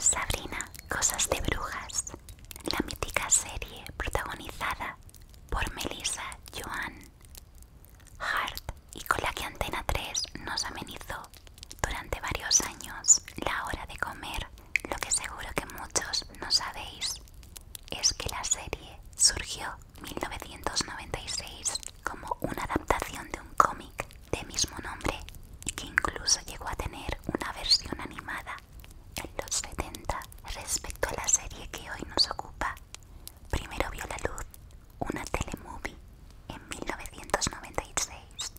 Sabrina, Cosas de Brujas, la mítica serie protagonizada por Melissa Joan Hart y con la que Antena 3 nos amenizó durante varios años la hora de comer. Lo que seguro que muchos no sabéis es que la serie surgió 1996 como una adaptación de un cómic de mismo nombre que incluso llegó a tener una versión animada en los 70 respecto a la serie que hoy nos ocupa. Primero vio la luz una telemovie en 1996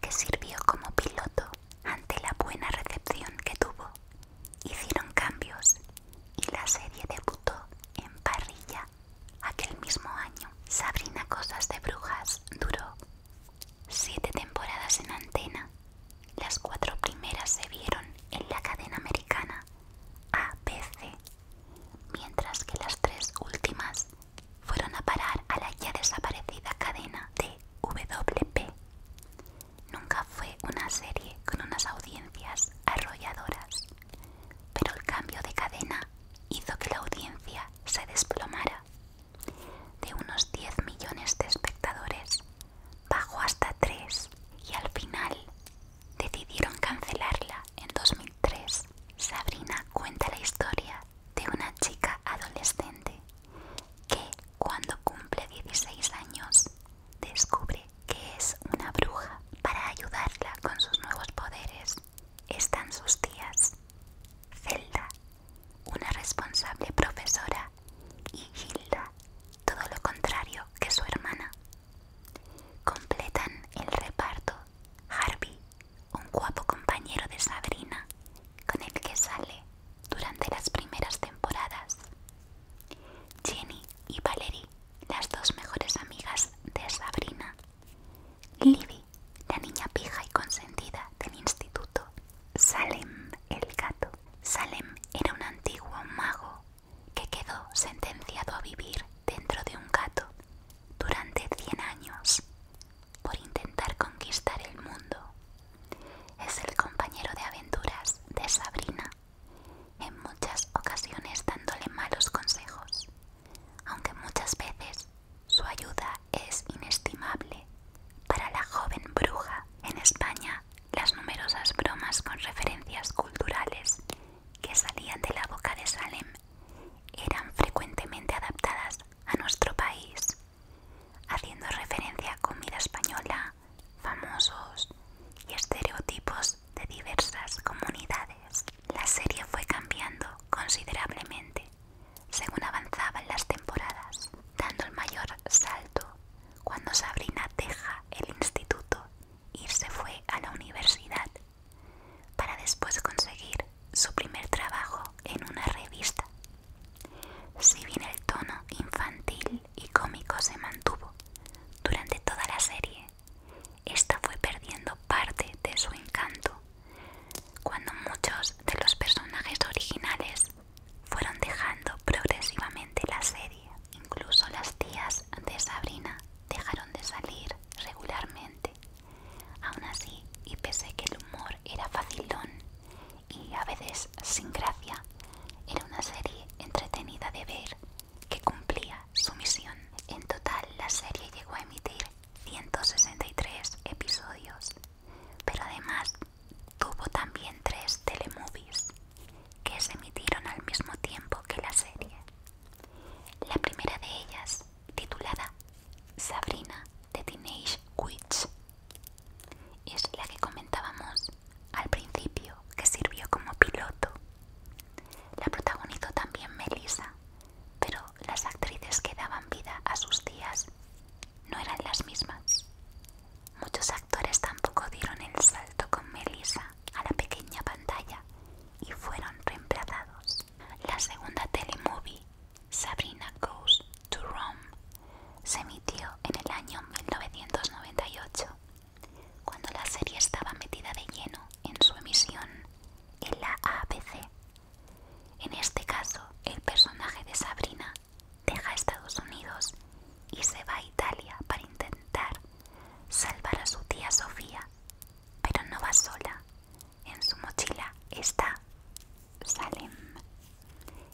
que sirvió como piloto ante la buena recepción que tuvo. Hicieron cambios y la serie debutó en parrilla aquel mismo año. Sabrina Cosas de Brujas duró siete temporadas en antena. Las cuatro primeras se vieron en la cadena americana ABC, mientras que las tres últimas fueron a parar a la ya desaparecida cadena de WP. Nunca fue una serie con unas audiencias arrolladoras, pero el cambio de cadena hizo que la audiencia se desplomara. De unos 10 millones de espectadores, bajó hasta 3 y al final decidieron cancelarla en 2003. Sabrina cuenta la historia de una chica adolescente que cuando cumple 16 años descubre que es una bruja para ayudarla con sus nuevos poderes. Están sus tías, Zelda, una responsable profesora, y Hilda, todo lo contrario que su hermana. Completan el reparto Harvey, un guapo compañero de Sabrina, con el que sale durante las primeras temporadas, Jenny y Valerie, las dos mejores amigas de Sabrina. Libby, la niña pija y consentida del instituto. Salem, el gato. Salem era un antiguo mago que quedó sentenciado a vivir dentro de un gato durante 100 años por intentar conquistar el mundo. Es el compañero de aventuras de Sabrina en muchas ocasiones dándole malos consejos, aunque muchas veces su ayuda es inestimable. Para la joven bruja, en España, las numerosas bromas con referencias culturales que salían de la boca de Salem eran frecuentemente adaptadas a nuestro país, haciendo referencia a comida española, famosos y estereotipos de diversas comunidades. La serie fue cambiando considerablemente según avanzaban las temporadas, dando el mayor salto cuando Sabrina deja el instituto y se fue a la universidad para después conseguir su primer trabajo en una revista. Si bien el tono infantil y cómico se mantuvo durante toda la serie. Esta fue perdiendo parte de su encanto cuando muchos de los personajes originales fueron dejando progresivamente la serie. Incluso las tías de Sabrina dejaron de salir regularmente. Aún así, y pese que el humor era facilón y a veces sin gracia, era una serie entretenida de ver que cumplía su misión. En total, la serie llegó a emitir 163 episodios, pero además tuvo también tres telemovies que se emitieron al mismo tiempo que la serie. La primera de ellas, titulada Sabrina de Teenage Witch, es la que comentábamos al principio, que sirvió como piloto. La protagonizó también Melissa, pero las actrices que daban vida a sus tías no eran las mismas. Muchos actores tampoco dieron el salto con Melissa a la pequeña pantalla y fueron reemplazados. La segunda telemovie, Sabrina Goes to Rome se emitió en el año 1998, cuando la serie estaba metida de lleno en su emisión en la ABC. En este caso, el personaje de Sabrina deja Estados Unidos y se va a Italia para intentar salvar a su tía Sofía, pero no va sola. En su mochila está Salem.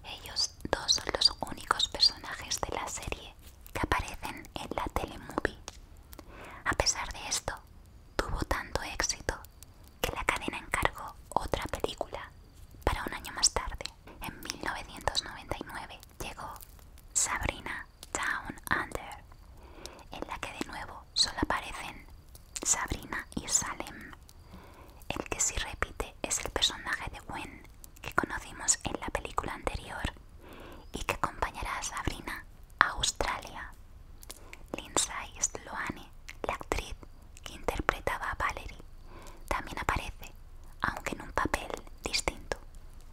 Ellos dos son los únicos personajes de la serie que aparecen en la telemovie. A pesar de esto, tuvo tanto éxito que la cadena encargó otra película para un año más tarde. En 1999 llegó Sabrina Down Under, en la que de nuevo solo aparecen Sabrina y Salem. El que sí repite es el personaje de Gwen que conocimos en la película anterior y que acompañará a Sabrina a Australia. Lindsay Sloane, la actriz que interpretaba a Valerie, también aparece, aunque en un papel distinto.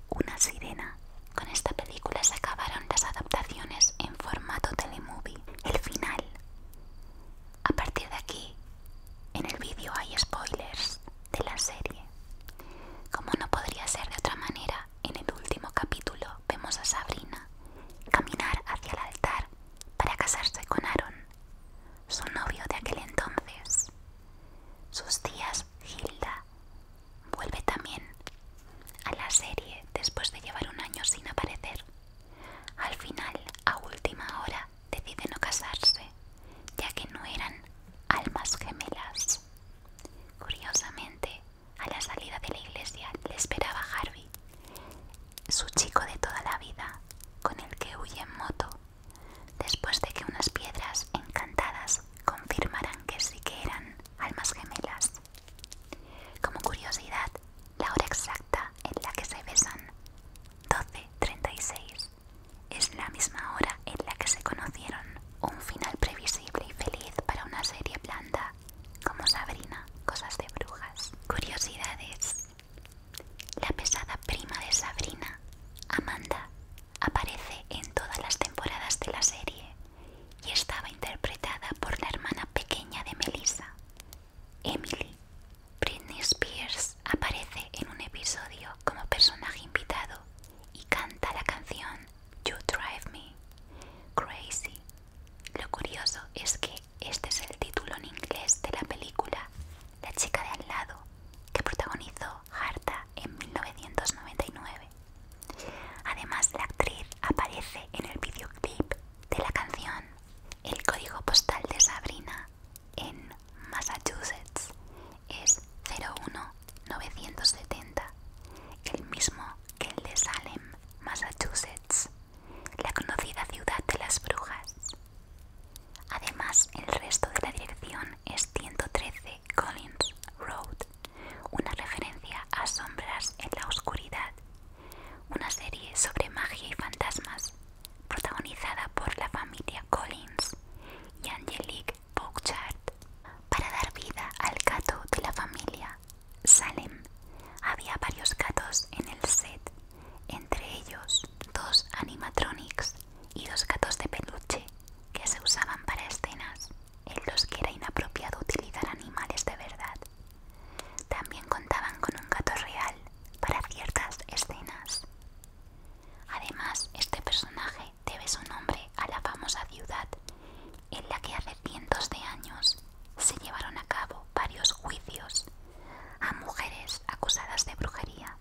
Una sirena. Con esta película se acabaron las adaptaciones en formato telemovie. El final. A partir de aquí, en el vídeo hay spoilers de la serie. Como no podría ser de otra manera, en el último capítulo vemos a Sabrina caminar hacia el altar para casarse con Aaron, su novio de aquel entonces. Sus tías Hilda vuelve también a la serie después de llevar un año sin aparecer. Al final, a última hora, deciden no casarse, ya que no eran almas gemelas. Curiosamente, a la salida de la iglesia le esperaba Harvey, su chico de toda la vida, con el que huye en moto, después de que unas piedras encantadas confirmaran que sí que eran almas gemelas. Como curiosidad, la hora exacta en la que se besan, 12.36, es la misma hora en la que se conocieron. Un final previsible y feliz para una serie blanda, como Sabrina, Cosas de Brujas. Curiosidades. La pesada prima de Sabrina, Amanda, aparece en todas las temporadas de la serie y estaba interpretada por la hermana pequeña de Melissa, Emily. Britney Spears aparece en un episodio como personaje invitado y canta la canción You Drive Me Crazy. Lo curioso es que este es el título en inglés de la película La chica de al lado que protagonizó Harta en 1999. Además, la actriz aparece en el videoclip de la canción el código postal de Sabrina en Massachusetts es 01970, el mismo que el de Salem, Massachusetts, la conocida ciudad de las brujas. Además, el resto de la dirección es 113 Collins Road, una referencia a sombras en la oscuridad una serie sobre magia y fantasmas protagonizada por la familia Collins y Angelique Bouchard para dar vida al gato de la familia Salem. Había varios gatos en el set, entre ellos dos animatronics y dos gatos de peluche que se usaban para escenas en los que era inapropiado utilizar animales de verdad también contaban con un gato real para ciertas escenas. Además, este personaje debe su nombre a la famosa ciudad en la que hace cientos de años se llevaron a cabo varios juicios a mujeres acusadas de brujería.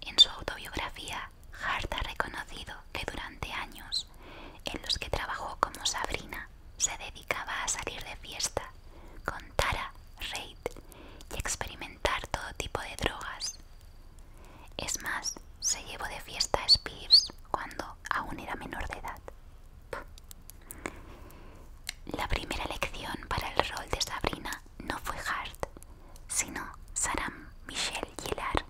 En su autobiografía, Hart ha reconocido que durante años en los que trabajó como Sabrina se dedicaba a salir de fiesta con Tara Reid y experimentar todo tipo de drogas. Es más, se llevó de fiesta a Spears cuando aún era menor de edad. La primera elección para el rol de Sabrina no fue Hart, sino Saram Michelle Gillard,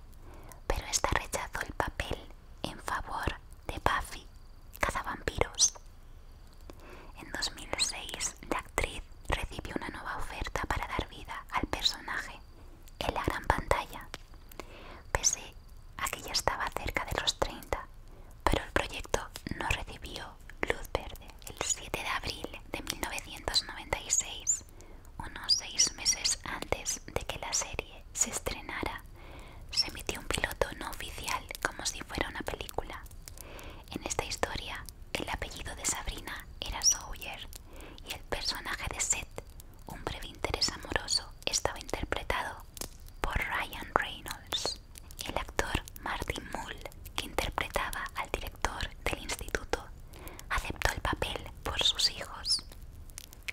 pero esta rechazó el papel en favor de Buffy vampiros. En 2006, la actriz recibió una nueva oferta para dar vida al personaje en la gran pantalla. Pese a que ya estaba cerca de los 30, pero el proyecto no recibió luz verde. El 7 de abril de 1996, unos seis meses antes de que la serie se estrenara, se emitió un piloto no oficial como si fuera una película. En esta historia, el apellido de Sabrina era Sawyer y el personaje de Seth, un breve interés amoroso, estaba interpretado por Ryan Reynolds. El actor Martin Mull, que interpretaba al director del instituto, aceptó el papel por sus hijos.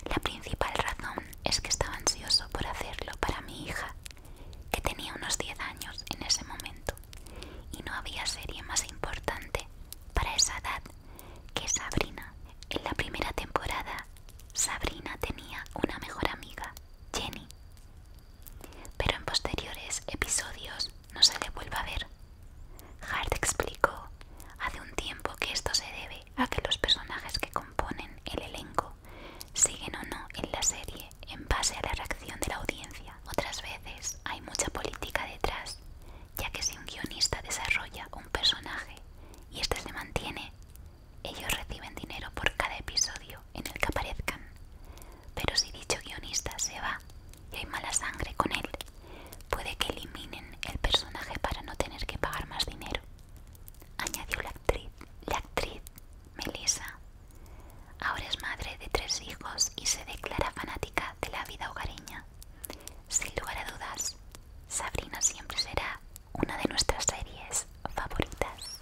La principal razón es que estaba ansioso por hacerlo para mi hija, que tenía unos 10 años en ese momento, y no había serie más importante para esa edad que Sabrina. En la primera temporada, Sabrina tenía una mejor amiga, Jenny, pero en posteriores episodios no se le vuelve a ver. Hart explicó hace un tiempo que esto se debe a que los personajes que componen el elenco siguen o no en la serie en base a la reacción de la audiencia. Otras veces hay mucha política detrás, ya que si un guionista desarrolla un personaje y este se mantiene, ellos reciben dinero por cada episodio en el que aparezcan. Pero si dicho guionista se va y hay mala sangre con él, Puede que eliminen el personaje para no tener que pagar más dinero, añadió la actriz. La actriz, Melissa, ahora es madre de tres hijos y se declara fanática de la vida hogareña. Sin lugar a dudas, Sabrina siempre será una de nuestras series favoritas.